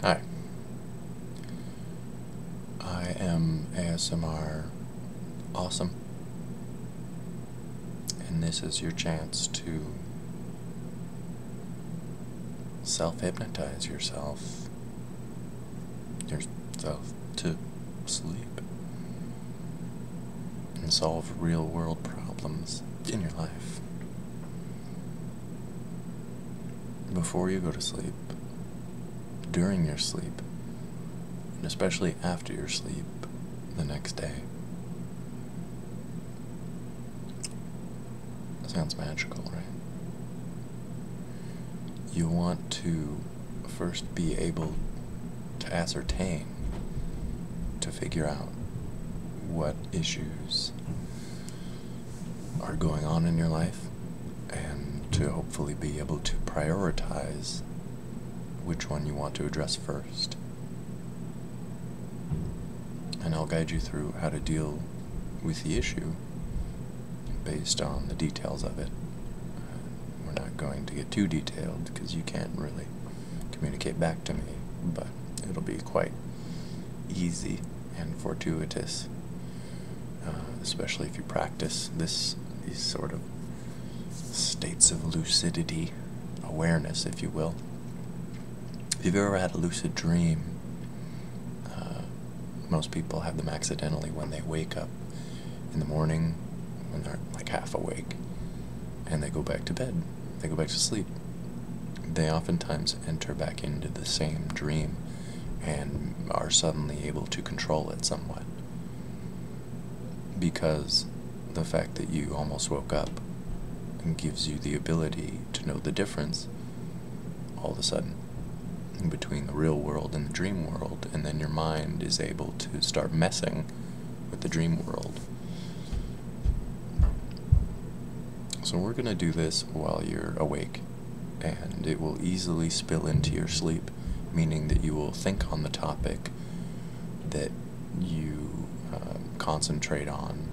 Hi. I am ASMR Awesome, and this is your chance to self hypnotize yourself, yourself to sleep, and solve real world problems in your life before you go to sleep, during your sleep, and especially after your sleep the next day. Sounds magical, right? You want to first be able to ascertain, to figure out what issues are going on in your life and to hopefully be able to prioritize which one you want to address first. And I'll guide you through how to deal with the issue based on the details of it. We're not going to get too detailed because you can't really communicate back to me, but it'll be quite easy and fortuitous, uh, especially if you practice this these sort of states of lucidity, awareness, if you will. If you've ever had a lucid dream, uh, most people have them accidentally when they wake up in the morning when they're like half awake and they go back to bed they go back to sleep. They oftentimes enter back into the same dream and are suddenly able to control it somewhat. Because the fact that you almost woke up gives you the ability to know the difference all of a sudden between the real world and the dream world, and then your mind is able to start messing with the dream world so we're going to do this while you're awake, and it will easily spill into your sleep, meaning that you will think on the topic that you um, concentrate on,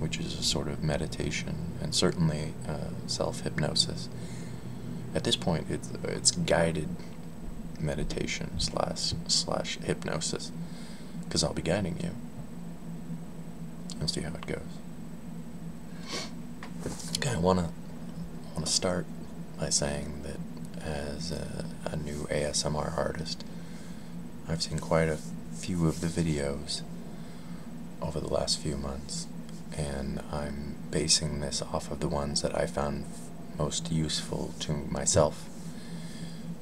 which is a sort of meditation and certainly uh, self hypnosis. At this point, it's, it's guided meditation slash slash hypnosis, because I'll be guiding you. We'll see how it goes. Okay, I wanna wanna start by saying that as a new ASMR artist, I've seen quite a few of the videos over the last few months, and I'm basing this off of the ones that I found most useful to myself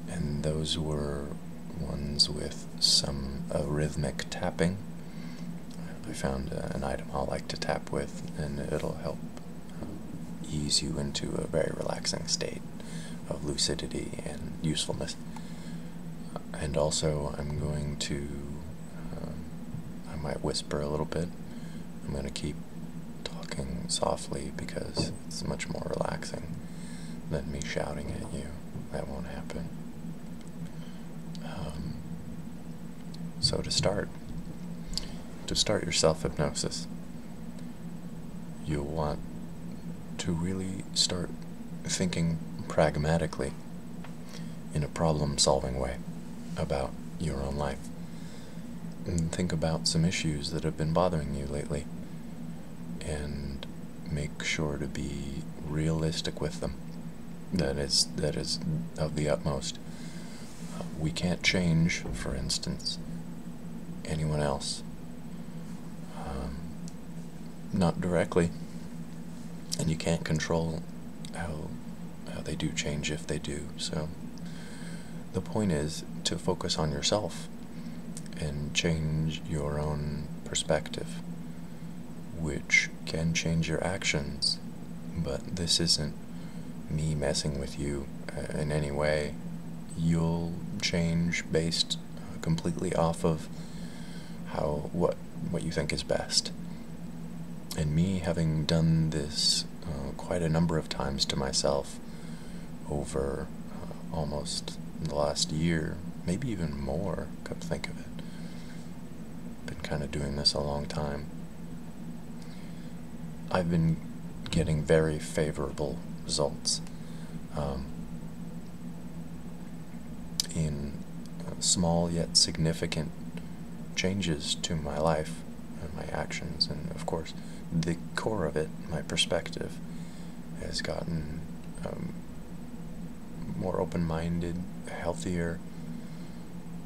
and those were ones with some uh, rhythmic tapping. I found uh, an item I will like to tap with, and it'll help uh, ease you into a very relaxing state of lucidity and usefulness. And also, I'm going to, um, I might whisper a little bit. I'm going to keep talking softly because it's much more relaxing than me shouting at you that won't happen. Um, so to start, to start your self-hypnosis, you'll want to really start thinking pragmatically in a problem-solving way about your own life. And think about some issues that have been bothering you lately and make sure to be realistic with them. That is, that is of the utmost. Uh, we can't change, for instance, anyone else. Um, not directly. And you can't control how, how they do change if they do. So the point is to focus on yourself and change your own perspective, which can change your actions. But this isn't me messing with you uh, in any way. You'll change based uh, completely off of how what what you think is best. And me having done this uh, quite a number of times to myself over almost in the last year, maybe even more, come think of it. Been kind of doing this a long time. I've been getting very favorable results um, in uh, small yet significant changes to my life and my actions, and of course, the core of it, my perspective, has gotten um, more open-minded, healthier,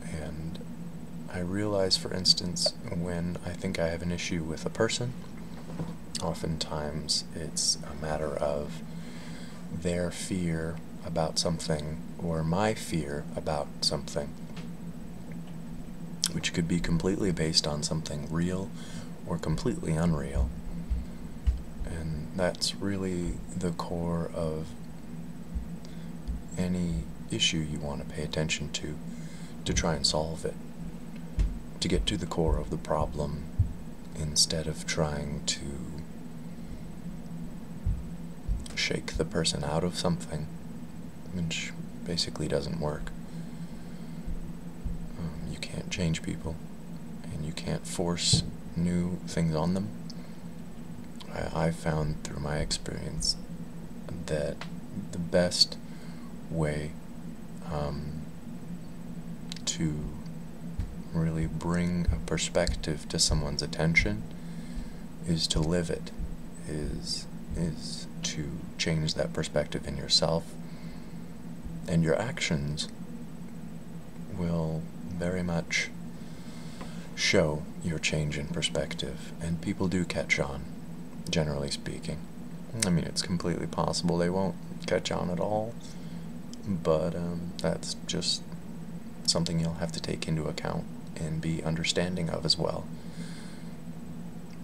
and I realize, for instance, when I think I have an issue with a person, oftentimes it's a matter of their fear about something or my fear about something, which could be completely based on something real or completely unreal. And that's really the core of any issue you want to pay attention to to try and solve it, to get to the core of the problem instead of trying to shake the person out of something, which basically doesn't work. Um, you can't change people and you can't force new things on them. I, I found through my experience that the best way um, to really bring a perspective to someone's attention is to live it is is to change that perspective in yourself and your actions will very much show your change in perspective, and people do catch on, generally speaking. I mean, it's completely possible they won't catch on at all, but um, that's just something you'll have to take into account and be understanding of as well.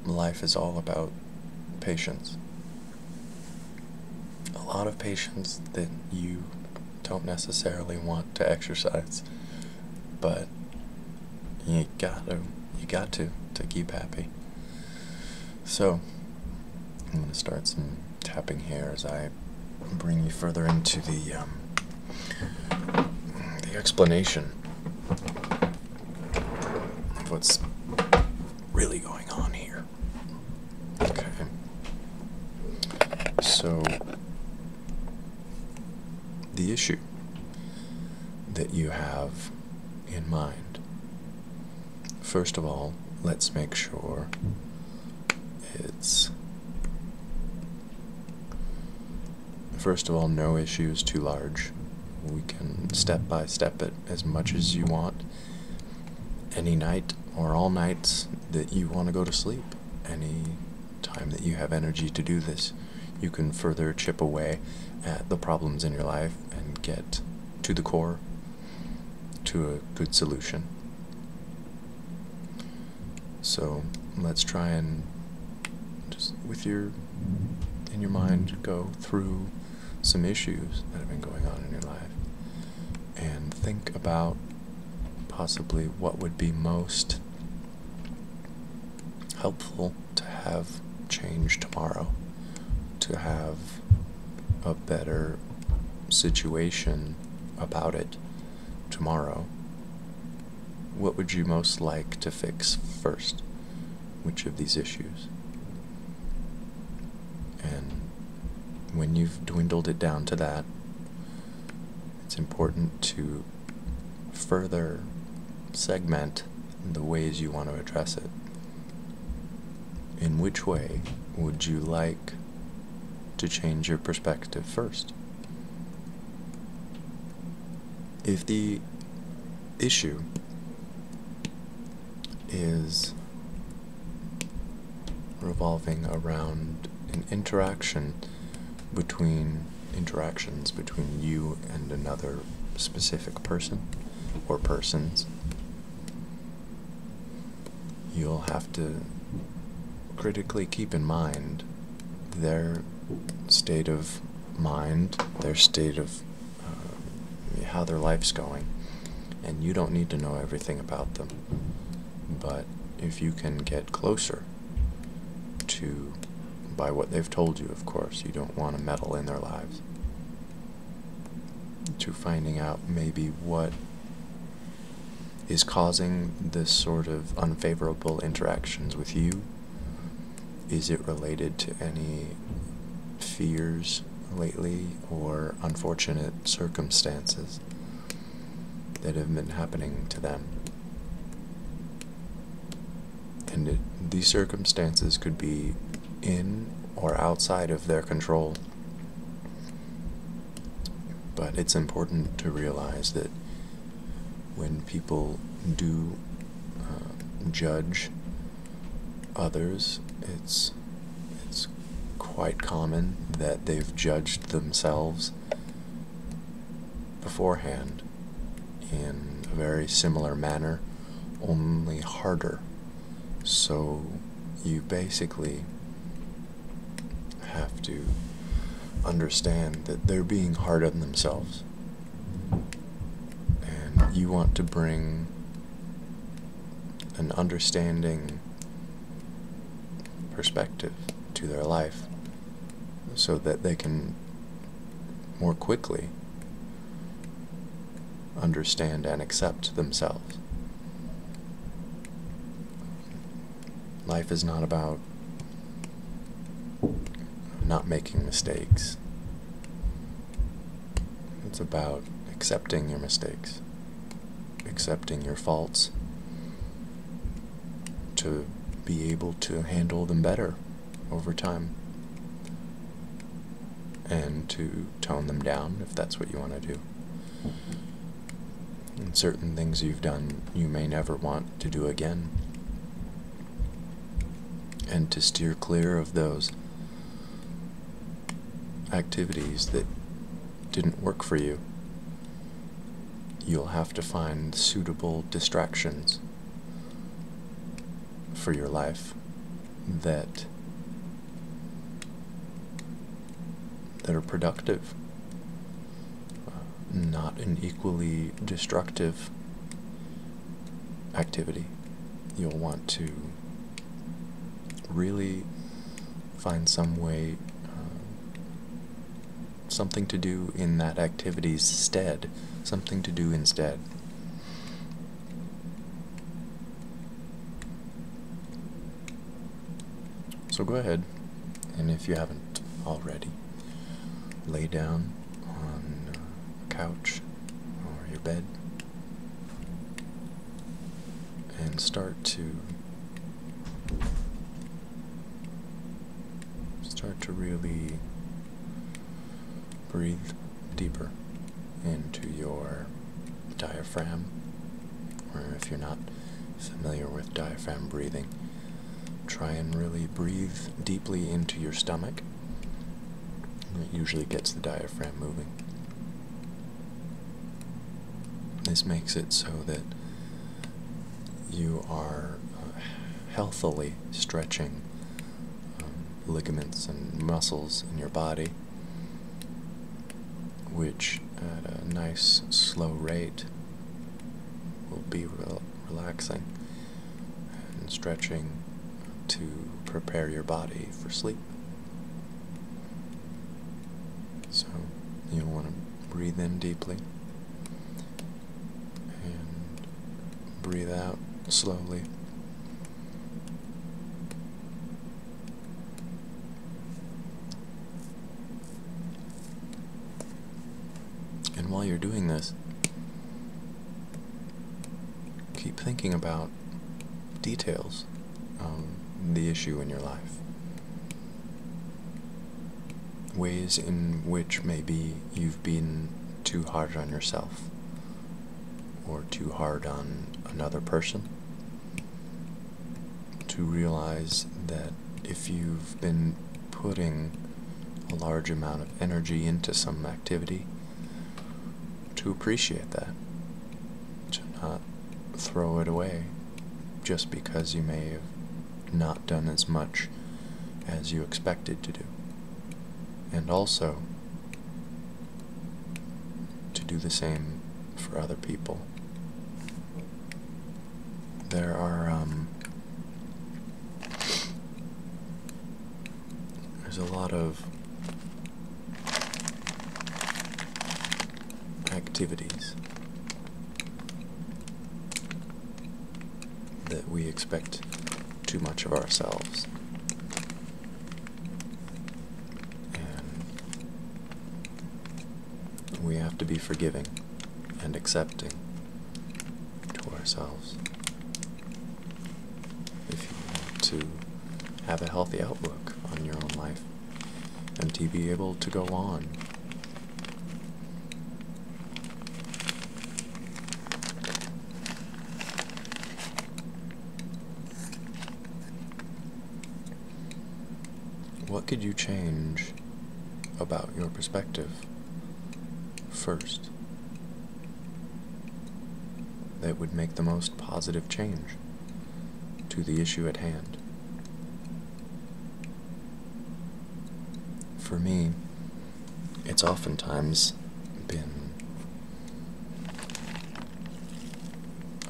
Life is all about patience a lot of patients that you don't necessarily want to exercise, but you got to you got to to keep happy. So I'm going to start some tapping here as I bring you further into the um, the explanation of what's really going on here. Okay. So, the issue that you have in mind, first of all, let's make sure it's. First of all, no issue is too large. We can step by step it as much as you want any night or all nights that you want to go to sleep, any time that you have energy to do this, you can further chip away at the problems in your life and get to the core to a good solution. So let's try and just with your in your mind go through some issues that have been going on in your life and think about possibly what would be most helpful to have change tomorrow, to have a better situation about it tomorrow. What would you most like to fix first? Which of these issues? And when you've dwindled it down to that, it's important to further segment the ways you want to address it. In which way would you like to change your perspective first? If the issue is revolving around an interaction between interactions between you and another specific person or persons. You'll have to critically keep in mind their state of mind, their state of um, how their life's going, and you don't need to know everything about them. But if you can get closer to, by what they've told you, of course, you don't want to meddle in their lives, to finding out maybe what is causing this sort of unfavorable interactions with you? Is it related to any fears lately or unfortunate circumstances that have been happening to them. And these circumstances could be in or outside of their control. But it's important to realize that when people do uh, judge others, it's it's quite common that they've judged themselves beforehand in a very similar manner, only harder. So you basically have to understand that they're being hard on themselves. And you want to bring an understanding perspective to their life so that they can more quickly understand and accept themselves. Life is not about not making mistakes. It's about accepting your mistakes, accepting your faults, to be able to handle them better over time, and to tone them down if that's what you want to do. And certain things you've done you may never want to do again, and to steer clear of those activities that didn't work for you. You'll have to find suitable distractions for your life that that are productive, uh, not an equally destructive activity. You'll want to really find some way, uh, something to do in that activity's stead, something to do instead. So go ahead, and if you haven't already, lay down on uh, a couch or your bed and start to start to really breathe deeper into your diaphragm or if you're not familiar with diaphragm breathing try and really breathe deeply into your stomach it usually gets the diaphragm moving this makes it so that you are uh, healthily stretching um, ligaments and muscles in your body, which at a nice slow rate will be relaxing and stretching to prepare your body for sleep. So you want to breathe in deeply and breathe out slowly. And while you're doing this, keep thinking about details um, the issue in your life. Ways in which maybe you've been too hard on yourself or too hard on another person. To realize that if you've been putting a large amount of energy into some activity, to appreciate that, to not throw it away just because you may have not done as much as you expected to do. And also, to do the same for other people. There are, um, there's a lot of activities that we expect too much of ourselves. And we have to be forgiving and accepting to ourselves if you want to have a healthy outlook on your own life and to be able to go on. What could you change about your perspective first that would make the most positive change? to the issue at hand. For me, it's oftentimes been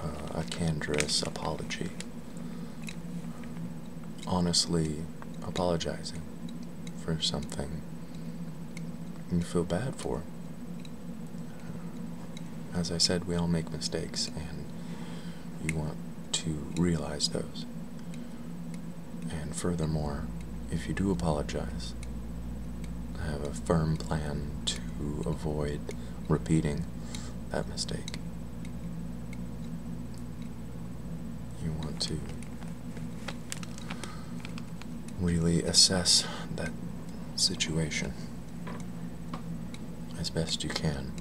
uh, a candorous apology, honestly apologizing for something you feel bad for as I said, we all make mistakes, and you want to realize those. And furthermore, if you do apologize, have a firm plan to avoid repeating that mistake. You want to really assess that situation as best you can.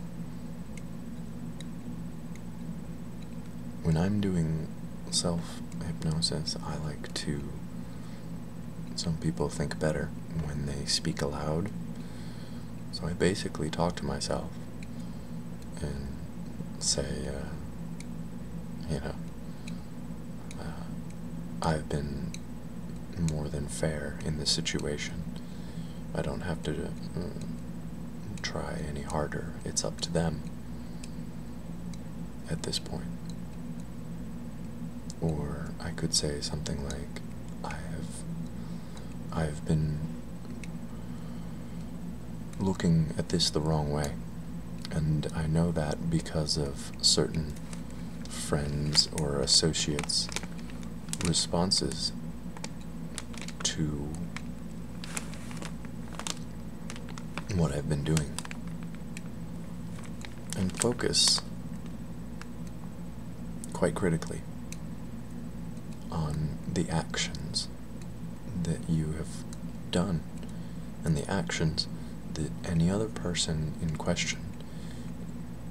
When I'm doing self hypnosis, I like to. Some people think better when they speak aloud. So I basically talk to myself and say, uh, you know, uh, I've been more than fair in this situation. I don't have to uh, try any harder. It's up to them at this point. Or I could say something like, I have, I've been looking at this the wrong way. And I know that because of certain friends or associates' responses to what I've been doing and focus quite critically on the actions that you have done and the actions that any other person in question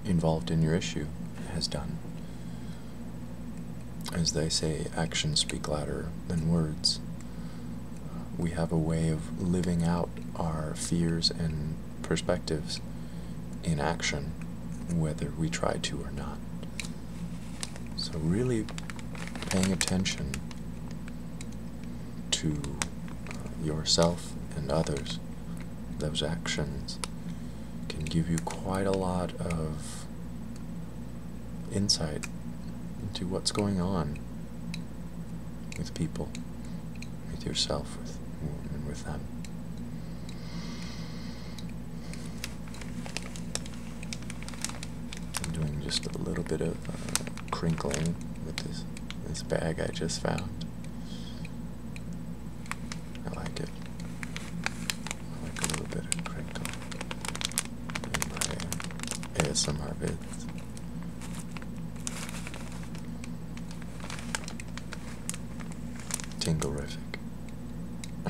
involved in your issue has done. As they say, actions speak louder than words. We have a way of living out our fears and perspectives in action, whether we try to or not. So, really paying attention to yourself and others those actions can give you quite a lot of insight into what's going on with people, with yourself, with and with them. I'm doing just a little bit of uh, crinkling with this this bag I just found. I like it. I like a little bit of crinkle Add some ASMR vids. Tinglerific.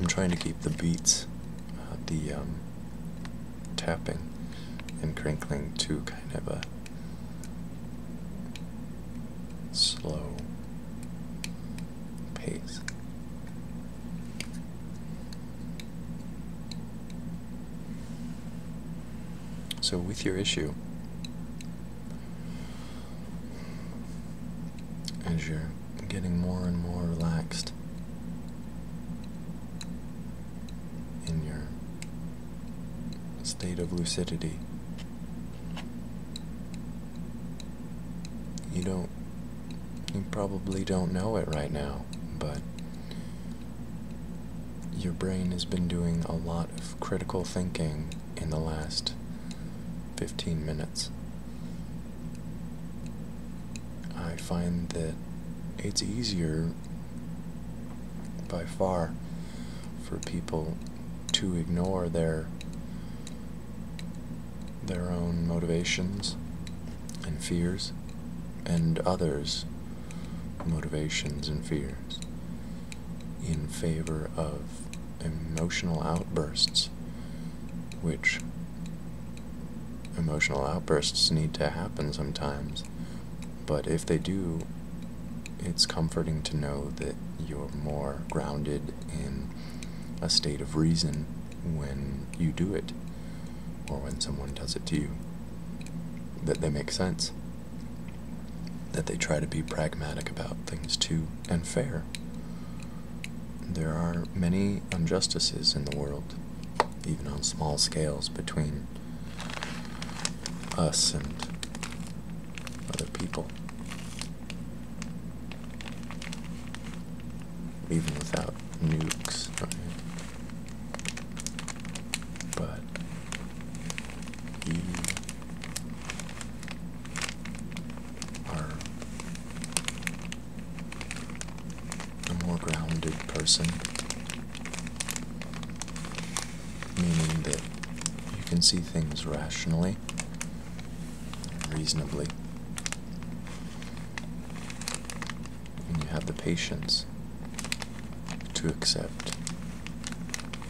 I'm trying to keep the beats, uh, the um, tapping and crinkling to kind of a slow pace. So, with your issue, as you're getting more and more relaxed, in your state of lucidity. You don't, you probably don't know it right now, but your brain has been doing a lot of critical thinking in the last 15 minutes. I find that it's easier by far for people to ignore their their own motivations and fears and others motivations and fears in favor of emotional outbursts which emotional outbursts need to happen sometimes. But if they do, it's comforting to know that you're more grounded in a state of reason when you do it, or when someone does it to you. That they make sense. That they try to be pragmatic about things too, and fair. There are many injustices in the world, even on small scales, between us and other people. Even without nukes, But you are a more grounded person, meaning that you can see things rationally reasonably, and you have the patience to accept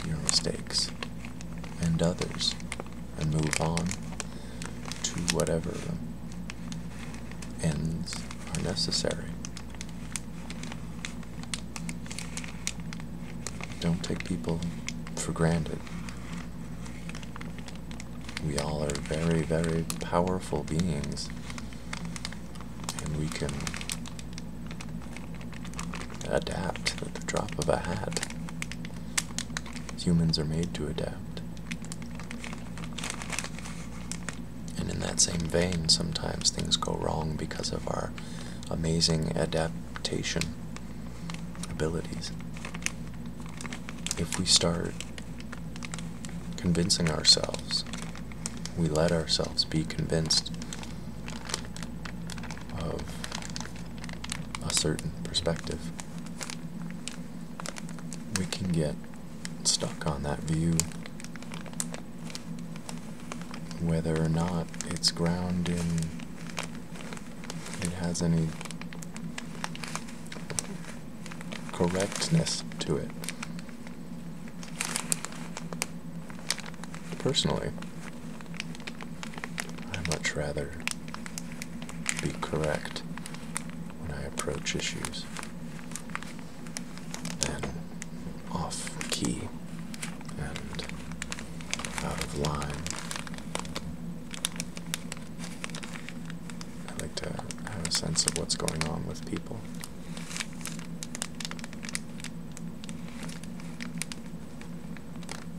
your mistakes and others and move on to whatever ends are necessary. Don't take people for granted. We all are very, very powerful beings, and we can adapt at the drop of a hat. Humans are made to adapt. And in that same vein, sometimes things go wrong because of our amazing adaptation abilities. If we start convincing ourselves, we let ourselves be convinced of a certain perspective, we can get stuck on that view, whether or not it's ground in it has any correctness to it. Personally, I much rather be correct when I approach issues and off key and out of line. I like to have a sense of what's going on with people.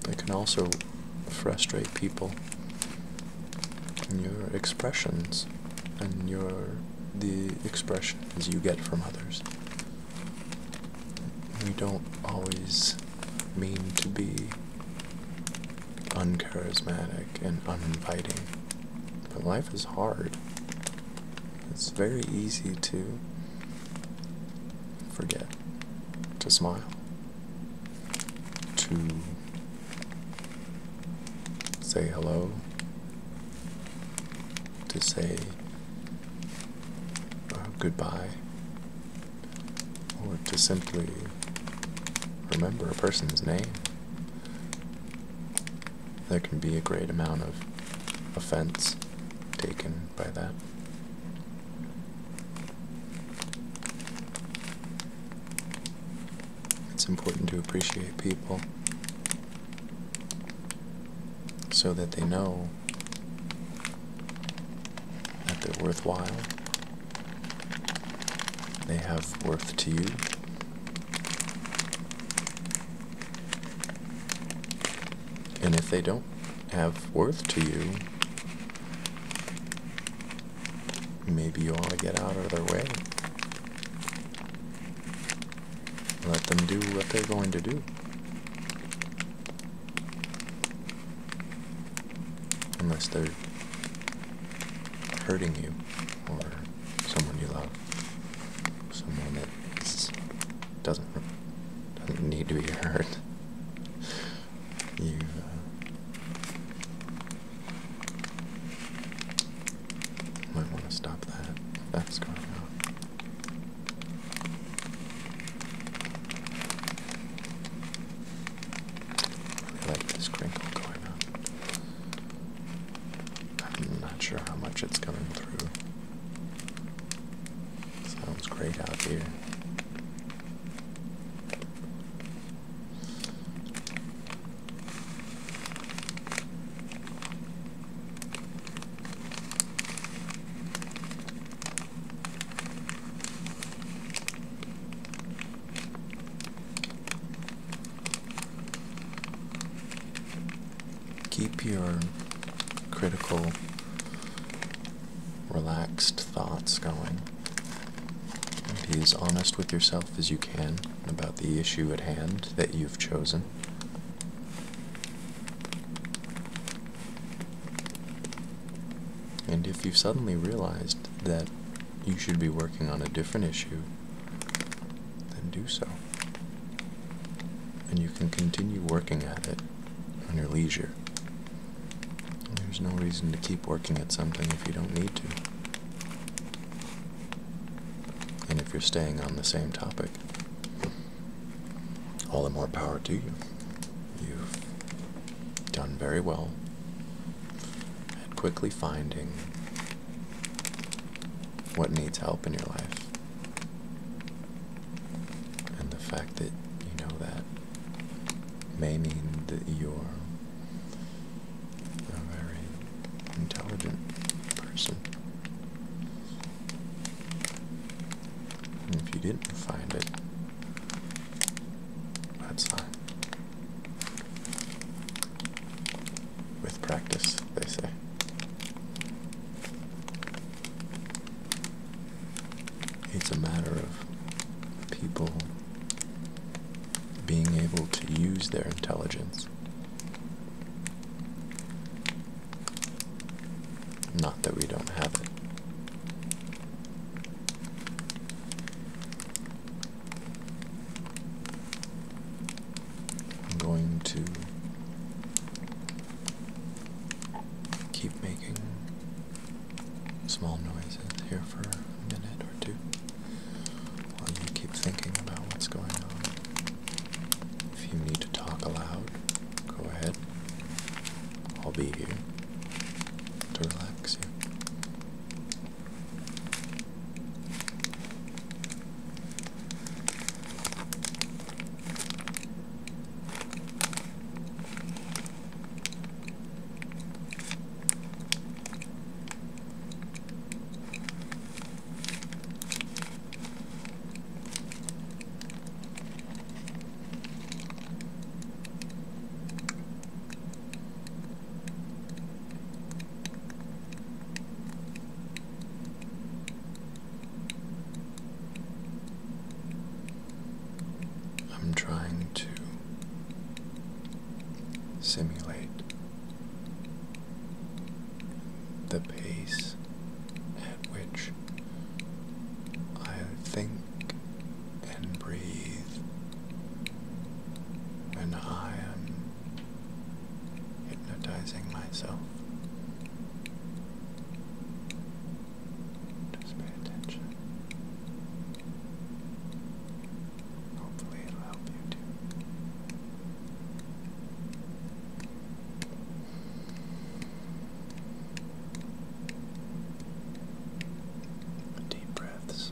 They can also frustrate people in your expressions and your the expressions you get from others. We don't always mean to be uncharismatic and uninviting, but life is hard. It's very easy to forget to smile, to say hello, to say uh, goodbye, or to simply remember a person's name. There can be a great amount of offense taken by that. It's important to appreciate people so that they know that they're worthwhile, they have worth to you. And if they don't have worth to you, maybe you ought to get out of their way. Let them do what they're going to do. Unless they're hurting you or someone you love. Someone that does is, doesn't, doesn't need to be hurt. You, uh, might want to stop that. that's going on. I like this crinkle going on. I'm not sure how much it's coming through. Sounds great out here. Keep your critical, relaxed thoughts going. Be as honest with yourself as you can about the issue at hand that you've chosen. And if you've suddenly realized that you should be working on a different issue, then do so. And you can continue working at it on your leisure. There's no reason to keep working at something if you don't need to. And if you're staying on the same topic, all the more power to you. You've done very well at quickly finding what needs help in your life. And the fact that you know that may mean that you're a very intelligent person. if you didn't find it, that's fine. With practice, they say. It's a matter of people being able to use their intelligence not that we don't have it. I'm going to keep making small noises here for a minute or two while you keep thinking about what's going on. If you need to talk aloud, go ahead. I'll be here to relax you. I'm trying to simulate the pace at which I think and breathe when I am hypnotizing myself. Just pay attention hopefully it'll help you too. Deep breaths.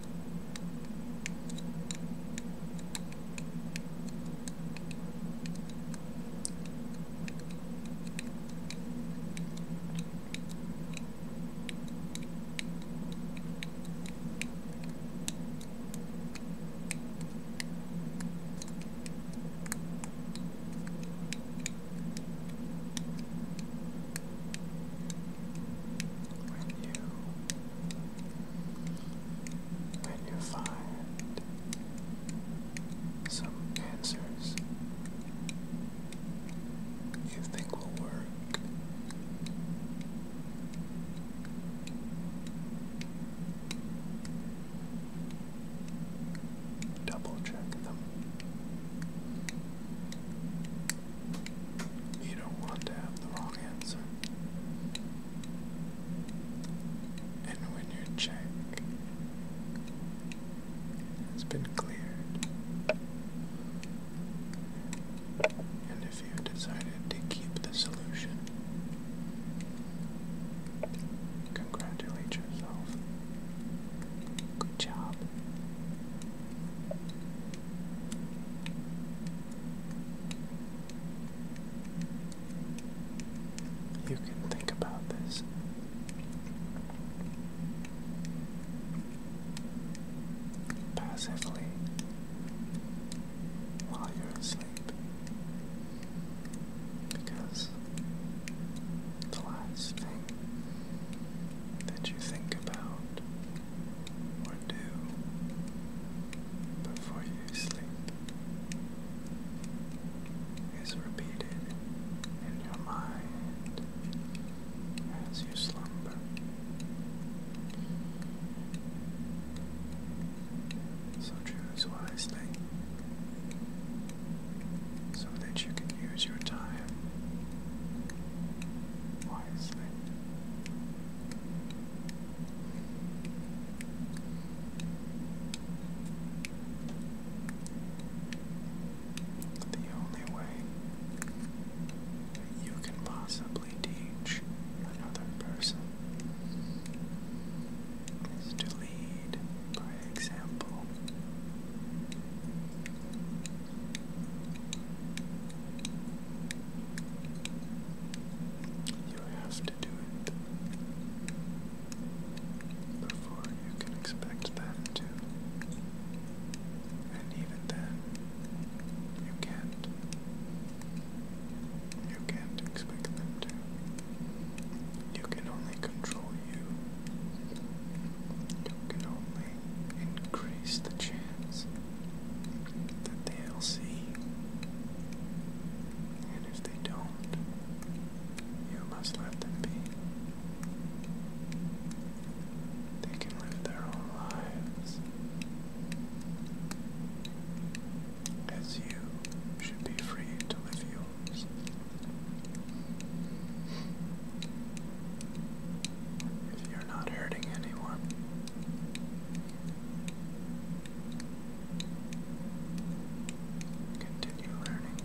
When you then you find some answers you think will work. Double check them. You don't want to have the wrong answer. And when your check has been cleared, and if you have decided to keep the solution, congratulate yourself. Good job. You can think about this. Passively while you're asleep, because the last thing that you think about or do before you sleep is repeated in your mind as you slumber. So choose wisely so that you can use your time the only way you can possibly teach another person is to lead by example. You have to do it before you can expect them to. And even then, you can't. You can't expect them to. You can only control you. You can only increase the chance they'll see, And if they don't, you must let them be. They can live their own lives. As you should be free to live yours if you're not hurting anyone. Continue learning.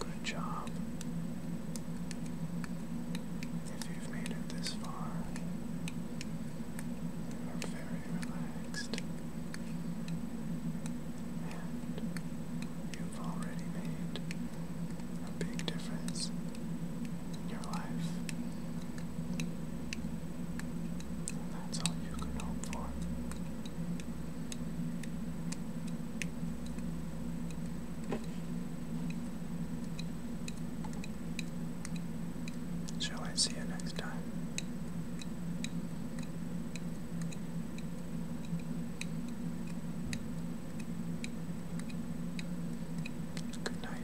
Good job. If you've made it this far, you are very relaxed. And you've already made a big difference in your life. that's all you can hope for. Shall I see you next time? Good night.